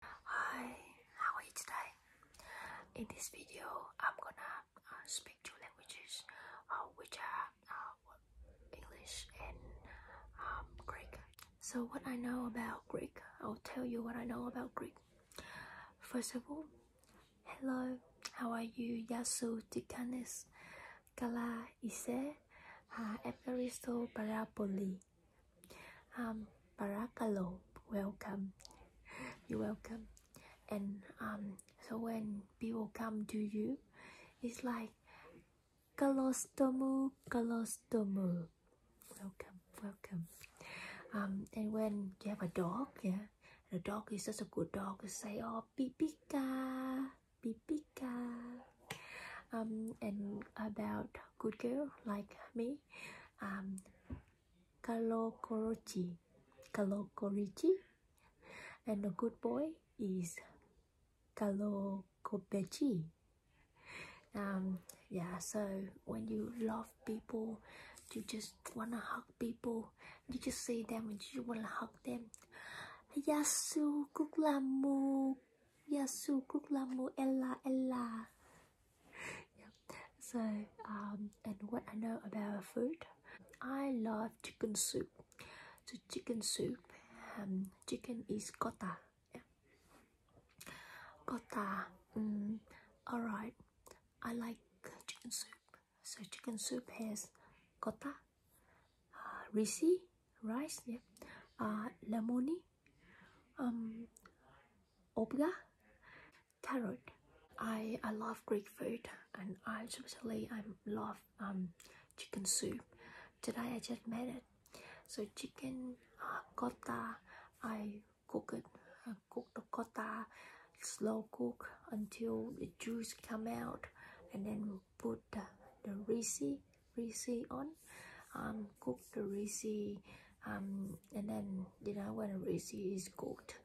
Hi, how are you today? In this video, I'm gonna uh, speak two languages, uh, which are uh, English and um, Greek. So, what I know about Greek, I'll tell you what I know about Greek. First of all, hello, how are you? Yasou Tikanes, Kala Ise, Evaristo Parapoli. Um, welcome. You're welcome. And um, so when people come to you, it's like Kalostomu, Kalostomu. Welcome, welcome. Um, and when you have a dog, yeah, the dog is such a good dog. say, oh, Pipika, Pipika. Um, and about good girl like me, um, Carlo Corochi. Carlo Corici. And a good boy is Carlo Copeci. Um, yeah, so when you love people, you just want to hug people. You just see them and you want to hug them. Yasu Kuklamu Yasu Kuklamu Ella Ella. Yeah. So, um, and what I know about food, I love chicken soup. So, chicken soup, um, chicken is kota. Yeah. Kota, mm, alright. I like chicken soup. So, chicken soup has kota, uh, risi, rice yeah uh, lemony um obga carrot i i love greek food and i especially i love um chicken soup today i just made it so chicken uh, i cook it cook the cotta slow cook until the juice come out and then put the, the risi reishi on, um, cook the reishi, um, and then you know when the reishi is cooked,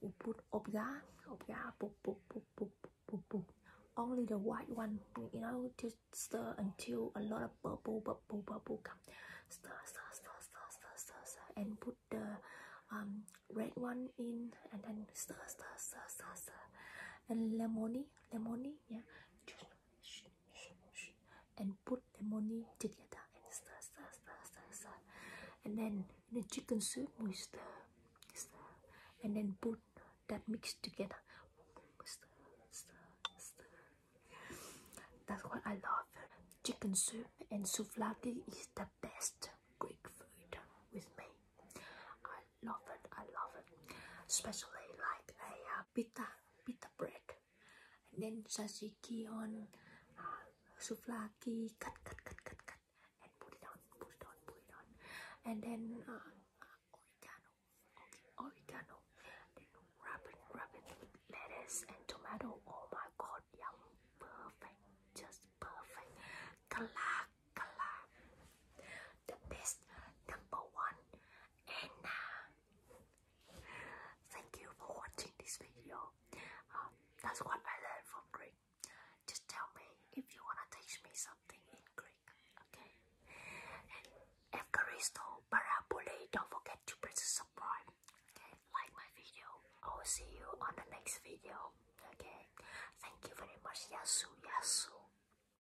we put obga, obga, boop, boop, boop, boop, boop, boop. only the white one, you know, just stir until a lot of bubble, bubble, bubble come. Stir, stir, stir, stir, stir, stir, stir, and put the um, red one in, and then stir, stir, stir, stir, stir, and lemony, lemony, yeah, just and put the money together and stir, stir, stir, stir, stir. And then the chicken soup with the and then put that mix together. That's what I love. Chicken soup and souvlaki is the best Greek food with me. I love it. I love it, especially like a. Uh, uh, pita pita bread, and then tzatziki on uh, souvlaki. Cut, cut, cut, cut, cut, and put it on, put it on, put it on, and then uh, uh, oregano. Okay, oregano. Then wrap it, wrap it with lettuce and tomato. Oh my God, yum! Perfect, just perfect. Kala, kala. The best number one and uh, thank you for watching this video. Um, that's what I learned from Greek. Just tell me if you wanna teach me something in Greek, okay? And Evcharisto Parabole, don't forget to press subscribe. Okay, like my video. I will see you on the next video. Okay, thank you very much. Yasu, Yasu.